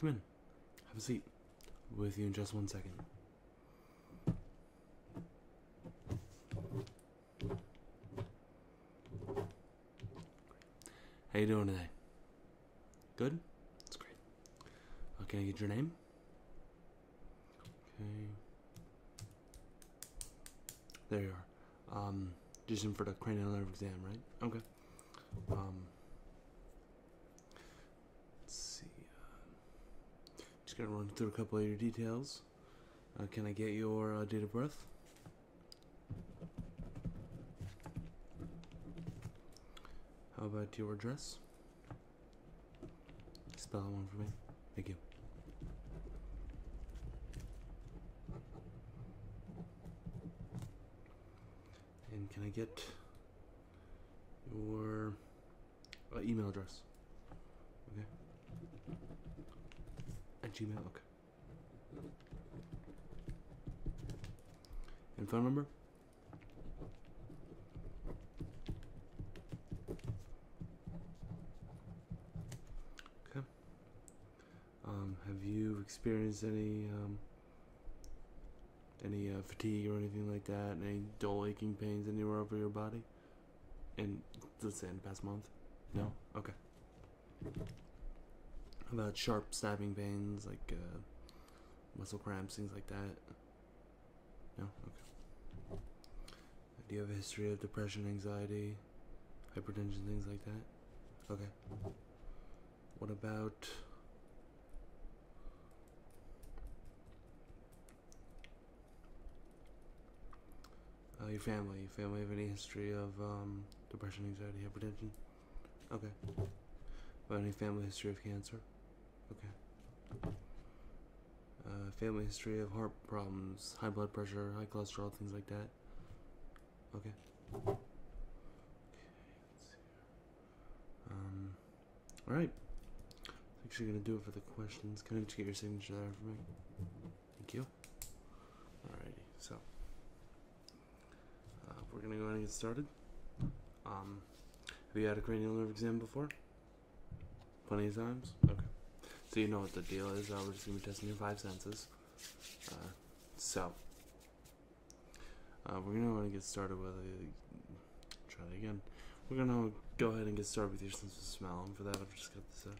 Come in. Have a seat. with you in just one second. How you doing today? Good? That's great. Okay, get your name? Okay. There you are. Um, just in for the cranial nerve exam, right? Okay. Um, let's see. Uh, just gotta run through a couple of your details. Uh, can I get your uh, date of birth? How about your address? Spell one for me. Thank you. And can I get your uh, email address? Okay. At Gmail, okay. And phone number? Okay. Um, have you experienced any um, any uh, fatigue or anything like that? Any dull aching pains anywhere over your body? in the past month. No. Okay. About sharp stabbing pains, like uh, muscle cramps, things like that. No. Okay. Do you have a history of depression, anxiety, hypertension, things like that? Okay. What about... Uh, your family. Your family have any history of um, depression, anxiety, hypertension? Okay. About any family history of cancer? Okay. Uh, family history of heart problems, high blood pressure, high cholesterol, things like that. Okay. Um, all right. Actually, gonna do it for the questions. Can I just get your signature there for me? Thank you. Alrighty. So uh, we're gonna go ahead and get started. Um, have you had a cranial nerve exam before? Plenty of times. Okay. So you know what the deal is. we're just gonna be testing your five senses. Uh, so uh, we're gonna want to get started with a. Try that again. We're gonna go ahead and get started with your sense of smell. And for that, I've just got this uh,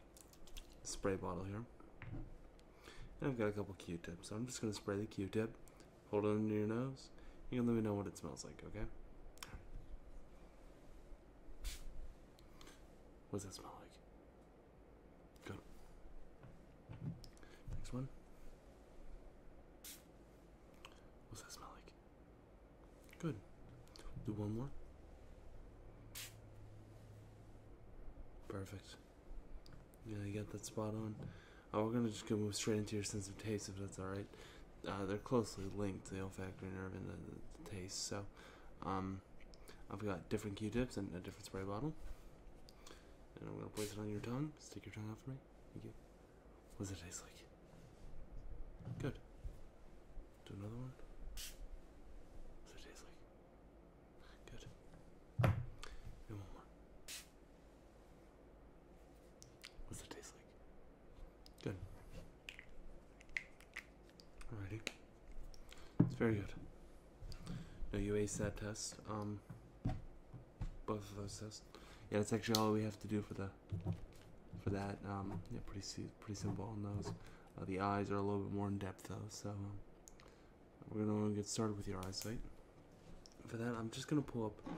spray bottle here. And I've got a couple Q-tips. So I'm just gonna spray the Q-tip, hold it under your nose. You can let me know what it smells like, okay? What does that smell like? Good. Next one. What's that smell like? Good. Do one more. Perfect. Yeah, you got that spot on. Uh, we're gonna just go move straight into your sense of taste if that's all right. Uh, they're closely linked, the olfactory nerve and the, taste. So, um, I've got different Q-tips and a different spray bottle. And I'm gonna place it on your tongue. Stick your tongue out for me. Thank What does it taste like? Good. Do another one. What does it taste like? Good. And one more. What it taste like? Good. Alrighty. It's very good. No, you aced that test. Um, both of those tests. Yeah, that's actually all we have to do for the for that. Um, yeah, pretty pretty simple on those. Uh, the eyes are a little bit more in depth though, so um, we're gonna get started with your eyesight. For that, I'm just gonna pull up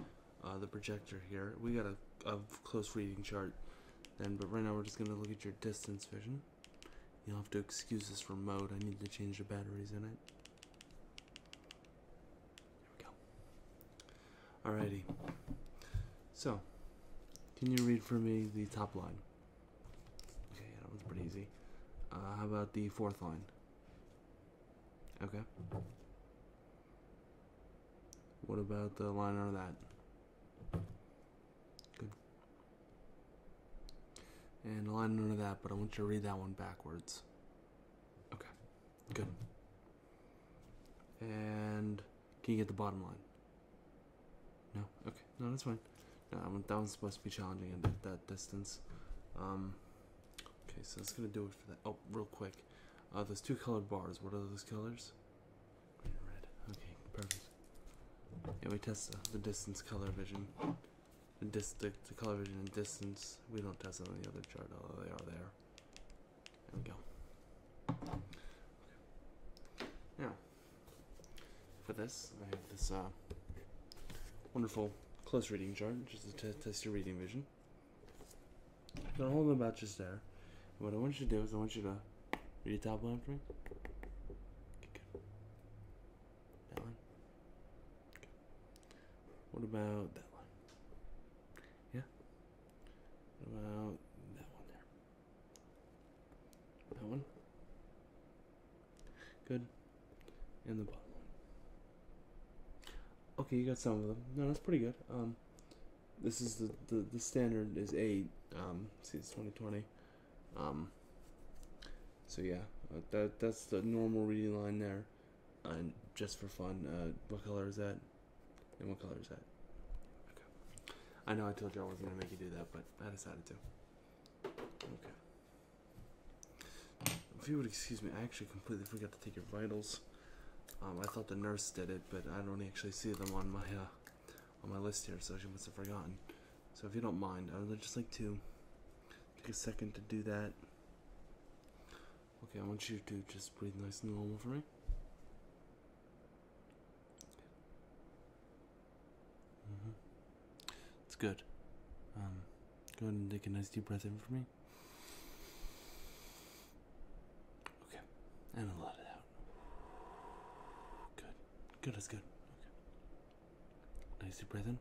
uh, the projector here. We got a, a close reading chart then, but right now we're just gonna look at your distance vision. You'll have to excuse this remote. I need to change the batteries in it. There we go. Alrighty. So, can you read for me the top line? Okay, yeah, that one's pretty easy. Uh, how about the fourth line? Okay. What about the line under that? Good. And the line under that, but I want you to read that one backwards. Okay, good. And can you get the bottom line? No. Okay. No, that's fine. No, that, one, that one's supposed to be challenging at that, distance. Um, okay, so that's gonna do it for that. Oh, real quick. Uh, those two colored bars. What are those colors? Green and red. Okay, perfect. Yeah, we test the distance color vision the, color vision and distance, we don't test it on the other chart, although they are there. There we go. Now, for this, I have this uh, wonderful close reading chart, just to test your reading vision. So hold them about just there. what I want you to do is I want you to read the top line for me. Okay, That line. What about that one? Yeah. What about that one there? That one? Good. And the bottom one. Okay, you got some of them. No, that's pretty good. Um, this is the, the, the standard is 8. Um, see, it's 2020. Um, so yeah, uh, that, that's the normal reading line there just for fun, uh, what color is that? And what color is that? Okay. I know I told you I wasn't gonna make you do that, but I decided to. Okay. If you would excuse me, I actually completely forgot to take your vitals. Um, I thought the nurse did it, but I don't actually see them on my uh, on my list here, so she must have forgotten. So if you don't mind, I would just like to Take a second to do that. Okay, I want you to just breathe nice and normal for me. Mm-hmm. It's good. Um, go ahead and take a nice deep breath in for me. Okay, and a lot of out. Good. Good as good. Okay. Nice deep breath in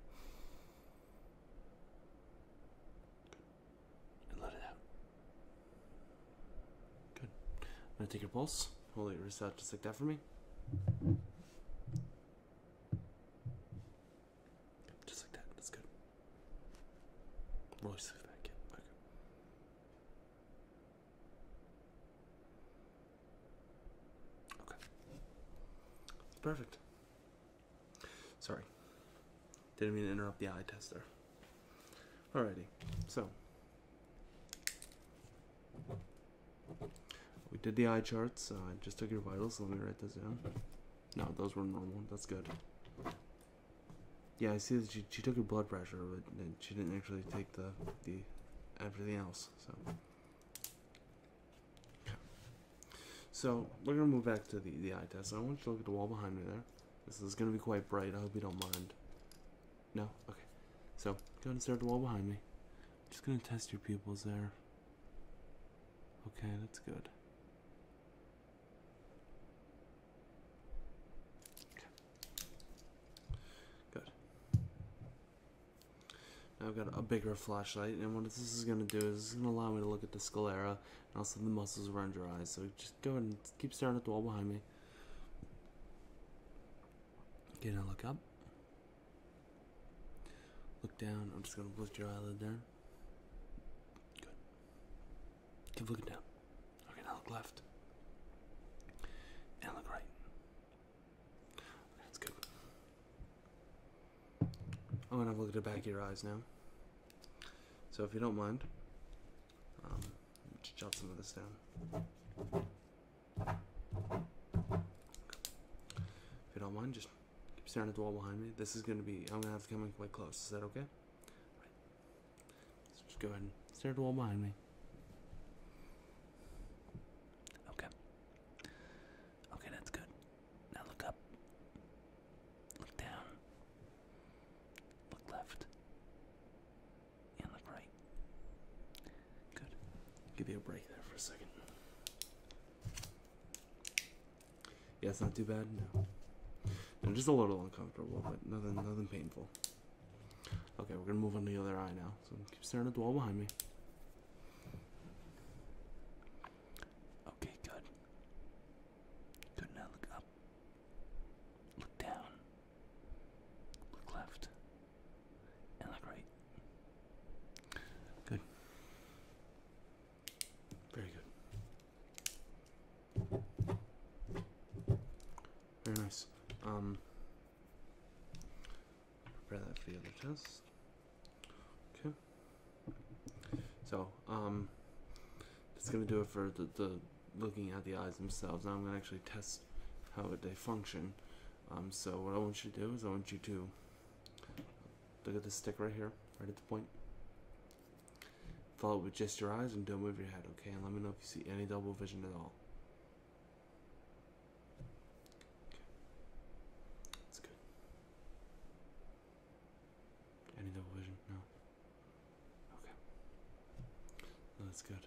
let it out. Good. I'm gonna take your pulse. Hold it wrist out just like that for me. Just like that. That's good. Roll your back. Yeah. Okay. Okay. Perfect. Sorry. Didn't mean to interrupt the eye tester. Alrighty, so we did the eye charts. Uh, I just took your vitals. let me write this down. No, those were normal. That's good. Yeah, I see that she, she took her blood pressure, but she didn't actually take the the everything else. So so we're gonna move back to the, the eye test. I want you to look at the wall behind me there. This is gonna be quite bright. I hope you don't mind. No? Okay. So go and stare at the wall behind me. I'm just gonna test your pupils there. Okay, that's good. Now I've got a bigger flashlight, and what this is going to do is it's going to allow me to look at the sclera also the muscles around your eyes. So just go and keep staring at the wall behind me. Okay, now look up. Look down. I'm just gonna lift your eyelid there. Good. Keep looking down. Okay, now look left. And look right. That's good. I'm gonna have a look at the back of your eyes now. So if you don't mind, um, just jot some of this down. If you don't mind, just keep staring at the wall behind me. This is gonna be, I'm gonna have to come in quite close. Is that okay? Right. So just go ahead and stare at the wall behind me. Okay. Okay, that's good. Now look up. Look down. Look left. And look right. Good. Give me a break there for a second. Yeah, it's not too bad. No. I'm just a little uncomfortable, but nothing, nothing painful. Okay, we're gonna move on to the other eye now. So keep staring at the wall behind me. Okay, good. Good now, look up. Look down. Look left. And look right. Good. Very good. Very nice. Um prepare that for the other test. Okay. So, um, that's going to do it for the, looking at the eyes themselves. Now I'm going to actually test how they function. Um, so what I want you to do is I want you to look at this stick right here, right at the point. Follow it with just your eyes and don't move your head, okay? And let me know if you see any double vision at all. That's good. Any double vision? No. Okay. that's good.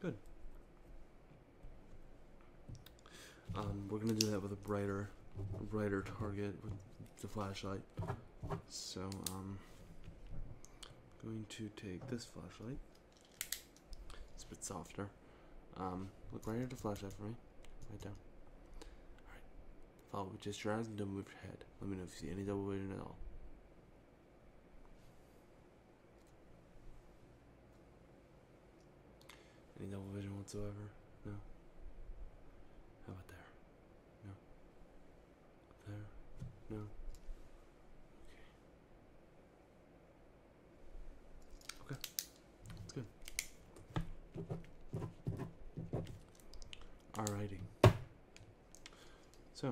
Good. Um, we're gonna do that with a brighter, brighter target with the flashlight. So, um, going to take this flashlight. It's a bit softer. Um, look right at the flash eye for me. Right down. Alright. Follow with just your eyes and don't move your head. Let me know if you see any double vision at all. Any double vision whatsoever? No? How about there? No? there? No? Okay. Okay, that's good. Alrighty. So,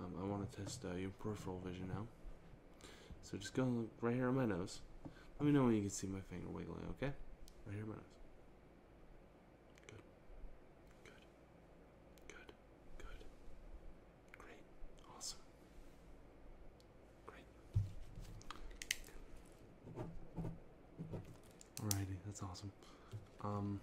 um, I want to test uh, your peripheral vision now. So just go right here on my nose. Let me know when you can see my finger wiggling, okay? Right here on my nose. Good. Good. Good. Good. Great. Awesome. Great. Alrighty, that's awesome. Um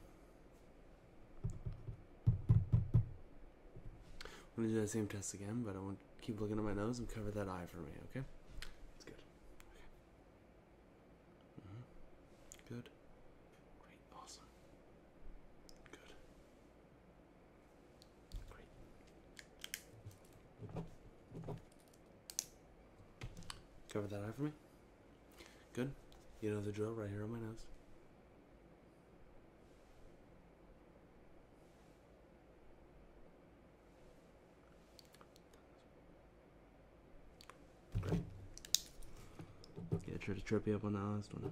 I'm gonna do that same test again, but I won't keep looking at my nose and cover that eye for me, okay? That's good. Okay. Mm-hmm. Good. Great. Awesome. Good. Cover that eye for me. Good. You know the drill right here on my nose. Great. Yeah, try to trip you up on the last one.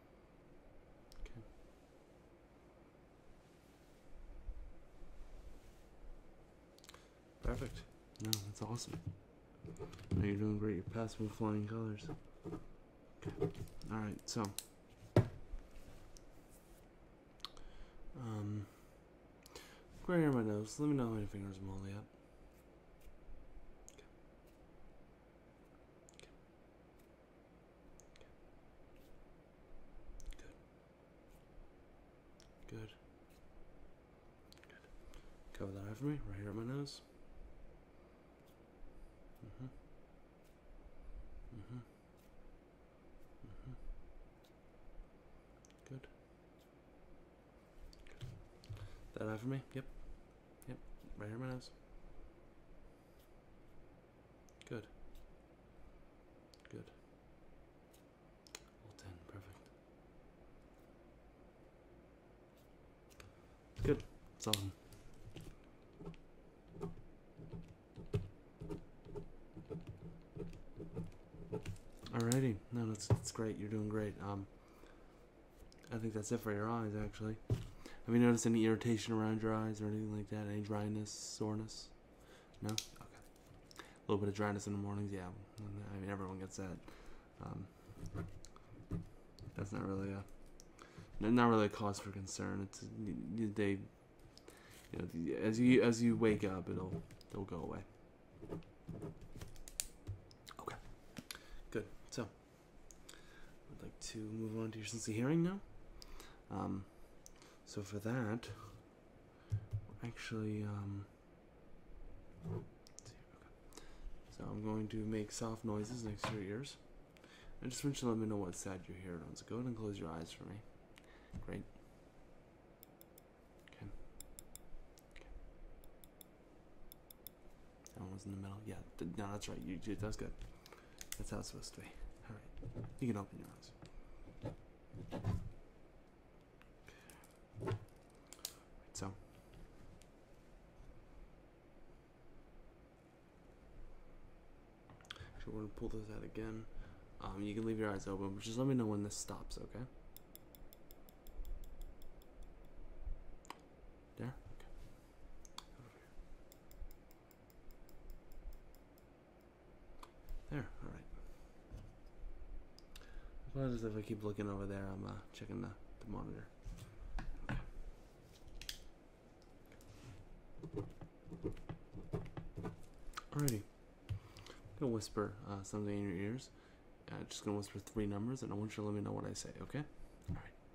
Perfect. No, that's awesome. No, you're doing great. You're passing with flying colors. Okay. Alright, so. Um. where are my nose. Let me know how many fingers I'm holding up. Good. Good. Good. Cover that for me, right here at my nose. hmm hmm hmm Good. Good. That over me? Yep. Yep, right here my nose. Good. Good. All ten, perfect. Good. awesome. Alrighty, no, that's that's great. You're doing great. Um, I think that's it for your eyes, actually. Have you noticed any irritation around your eyes or anything like that? Any dryness, soreness? No? Okay. A little bit of dryness in the mornings, yeah. I mean, everyone gets that. Um, that's not really a not really a cause for concern. It's they, you know, as you as you wake up, it'll it'll go away. Okay, good. So. I'd like to move on to your sentencing hearing now. Um, so for that, actually, um, so I'm going to make soft noises next to your ears. I just want you to let me know what side you are hearing on. So go ahead and close your eyes for me. Great. okay. That one was in the middle. Yeah, no, that's right. You, you that's good. That's how it's supposed to be. All right, you can open your eyes. so. Actually, we're gonna pull this out again. Um, you can leave your eyes open, but just let me know when this stops, okay? There? Okay. There, all right. As well as if I keep looking over there, I'm uh, checking the, the monitor. Alrighty. I'm gonna whisper uh, something in your ears. i just gonna whisper three numbers, and I want you to let me know what I say. Okay? All right.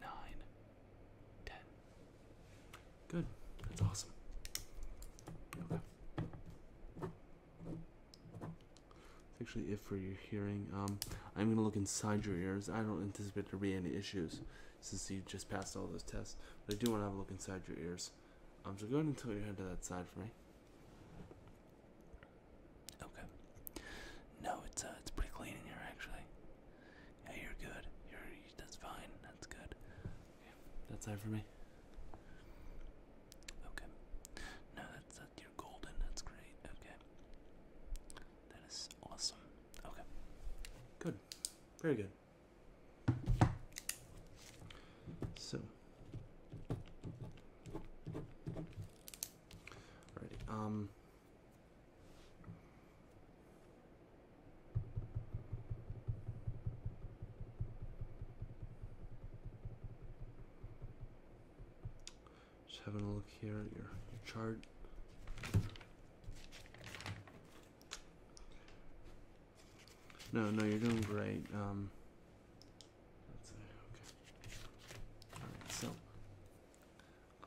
nine, ten. Good. That's awesome. Okay. That's actually it for your hearing. Um, I'm gonna look inside your ears. I don't anticipate there be any issues since you just passed all those tests, but I do want to have a look inside your ears. Um, so go ahead and tilt your head to that side for me. Okay. No, it's uh, it's pretty clean in here actually. Yeah, you're good. You're that's fine. That's good. that's it for me. Okay. No, that's that. You're golden. That's great. Okay. That is awesome. Okay. Good. Very good. So. Alrighty. Um. Just having a look here at your, chart. No, no, you're doing great. Um, okay. so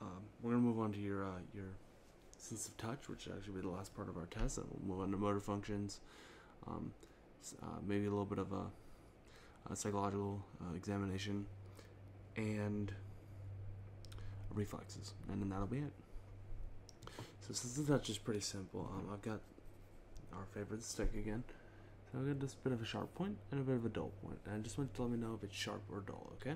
um, we're gonna move on to your uh, your sense of touch, which actually be the last part of our test. And we'll move on to motor functions, um, uh, maybe a little bit of a, psychological uh, examination, and reflexes, and then that'll be it. So sense of touch is pretty simple. Um, I've got our favorite stick again. So I've got this bit of a sharp point and a bit of a dull point, and I just want to let me know if it's sharp or dull, okay?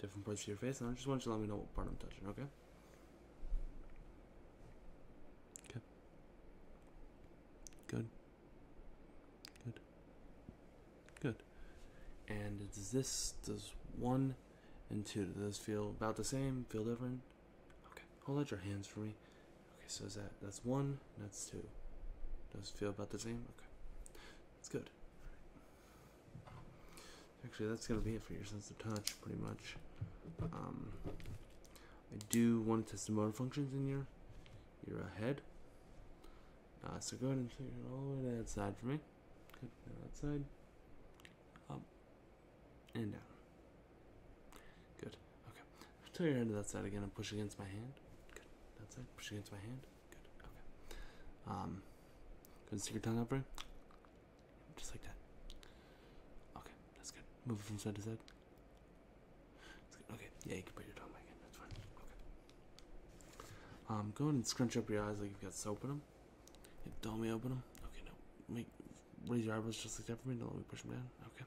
different parts of your face, and I just want you to let me know what part I'm touching, okay? Okay. Good. Good. Good. And does this, does one and two, does this feel about the same, feel different? Okay, hold out your hands for me. Okay, so is that, that's one, that's two. Does feel about the same? Okay. That's good. Actually, that's going to be it for your sense of touch, pretty much. Um, I do want to test the motor functions in your, your uh, head. Uh, so go ahead and take it all the way to that side for me. Good, that side. Up. And down. Good. Okay. Tilt your hand to that side again and push against my hand. Good. That side. Push against my hand. Good. Okay. Um, going stick your tongue out, me, Just like that. Okay, that's good. Move it from side to side. Okay. Yeah, you can put your tongue back That's fine. Okay. Um, go ahead and scrunch up your eyes like you've got soap in them. Yeah, don't me open them. Okay, no. Make raise your eyebrows just like that for me. Don't let me push them down. Okay.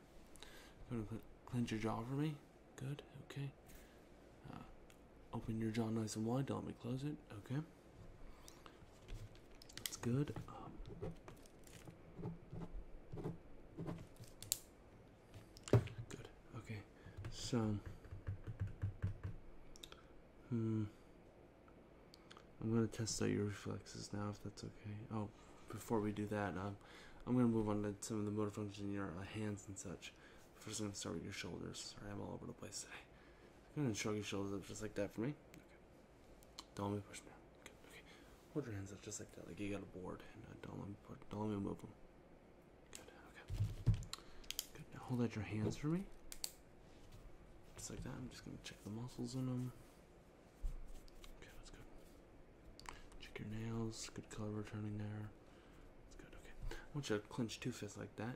Go ahead and cl your jaw for me. Good. Okay. Uh, open your jaw nice and wide. Don't let me close it. Okay. That's good. good. Okay. So. Hmm. I'm gonna test out your reflexes now, if that's okay. Oh, before we do that, um, I'm gonna move on to some of the motor functions in your uh, hands and such. First, I'm gonna start with your shoulders. Sorry, I'm all over the place today. I'm gonna shrug your shoulders up just like that for me. Okay. Don't let me push me. Okay. okay. Hold your hands up just like that, like you got a board, uh, don't let me don't let me move them. Good. Okay. Good. hold out your hands for me. Just like that. I'm just gonna check the muscles in them. Okay, that's good. Check your nails. Good color returning there. That's good. Okay. I want you to clench two fists like that,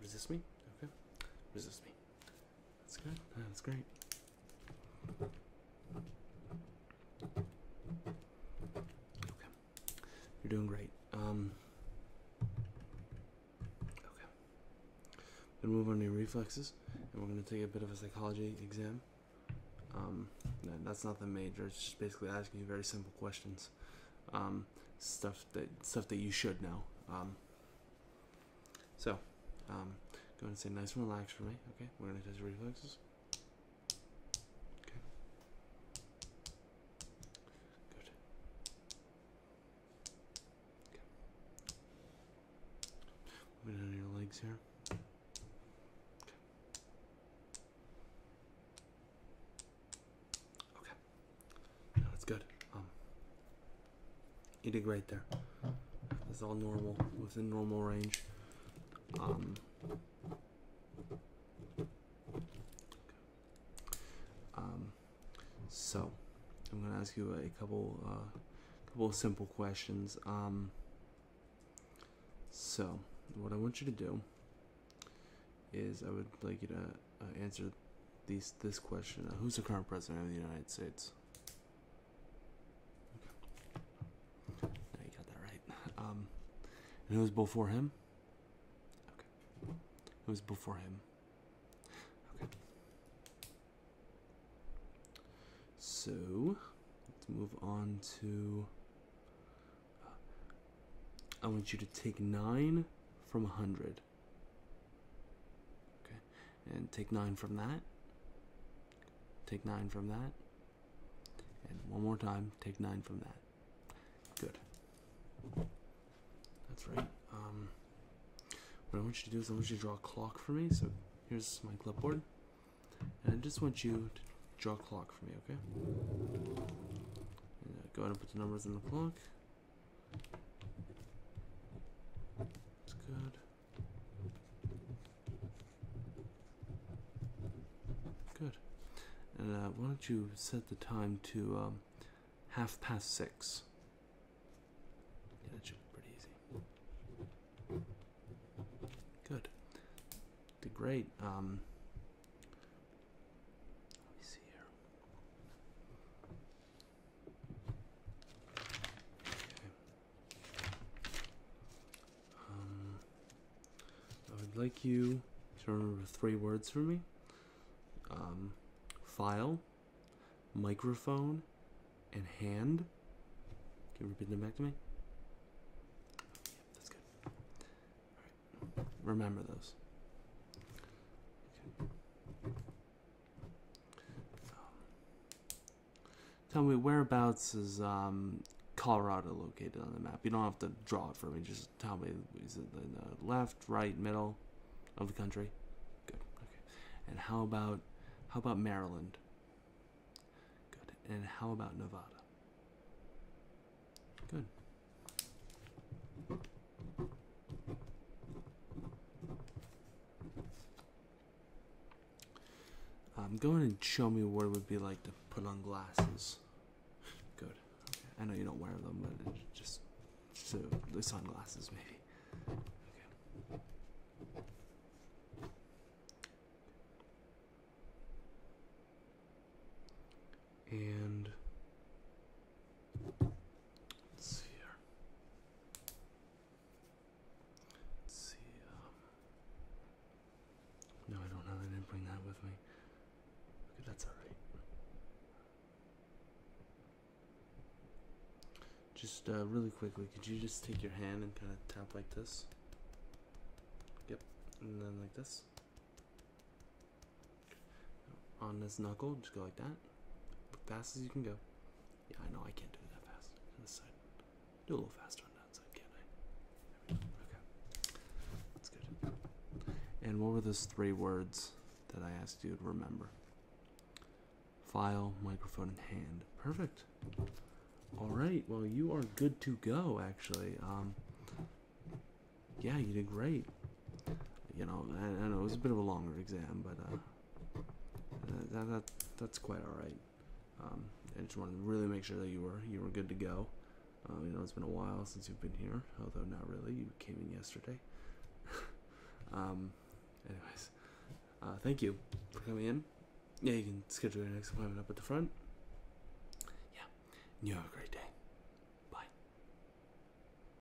Resist me? Okay. Resist me. That's good. That's great. Okay. You're doing great. Um. Okay. Then move on to your reflexes, and we're going to take a bit of a psychology exam. Um, that's not the major. It's just basically asking you very simple questions. Um, stuff stuff that stuff that you should know. Um, so, um, go and say nice and relaxed for me. Okay, we're gonna test reflexes. Okay. Good. Okay. Moving on your legs here. Okay. that's good. Um, you did great there. It's all normal, within normal range. Um, um, so, I'm gonna ask you a couple, uh, couple simple questions. Um, so, what I want you to do is I would like you to uh, answer these this question: uh, Who's the current president of the United States? Okay. you got that right. Um, and was before him? Okay. Who was before him? Okay. So let's move on to. Uh, I want you to take nine from a hundred. Okay, and take 9 from that. Take 9 from that. And one more time, take 9 from that. Good. That's right. Um, what I want you to do is I want you to draw a clock for me. So here's my clipboard. And I just want you to draw a clock for me, okay? Uh, go ahead and put the numbers in the clock. It's good. Good. And uh, why don't you set the time to um, half past six? that should be pretty easy. Good. Did great. Um, let me see here. Okay. Um, I would like you to remember three words for me. Um, file, microphone, and hand. Can you repeat them back to me? that's good. Remember those. Um, tell me whereabouts is um, Colorado located on the map? You don't have to draw it for me. Just tell me is it in the left, right, middle of the country? Good. Okay. And how about how about Maryland? Good. And how about Nevada? Good. Um, go in and show me what it would be like to put on glasses. Good. Okay. I know you don't wear them, but just so the sunglasses maybe. Okay. And Let's see here. Let's see. Um, no, I don't know. I didn't bring that with me. that's all right. Just uh, really quickly, could you just take your hand and kind of tap like this? Yep, and then like this on this knuckle, just go like that. Fast as you can go. Yeah, I know I can't do it that fast. On this side. Do a little faster on that side, can I? Okay. That's good. And what were those three words that I asked you to remember? File, microphone, and hand. Perfect. Alright, well you are good to go actually. Um yeah, you did great you know, I, know it was a bit of a longer exam, but uh, uh, that, that's quite all right. Um, I just wanted to really make sure that you were you were good to go. Uh, you know, it's been a while since you've been here, although not really. You came in yesterday. um, anyways, thank you for coming in. Yeah, you can schedule your next appointment up at the front. Yeah, you have a great day. Bye.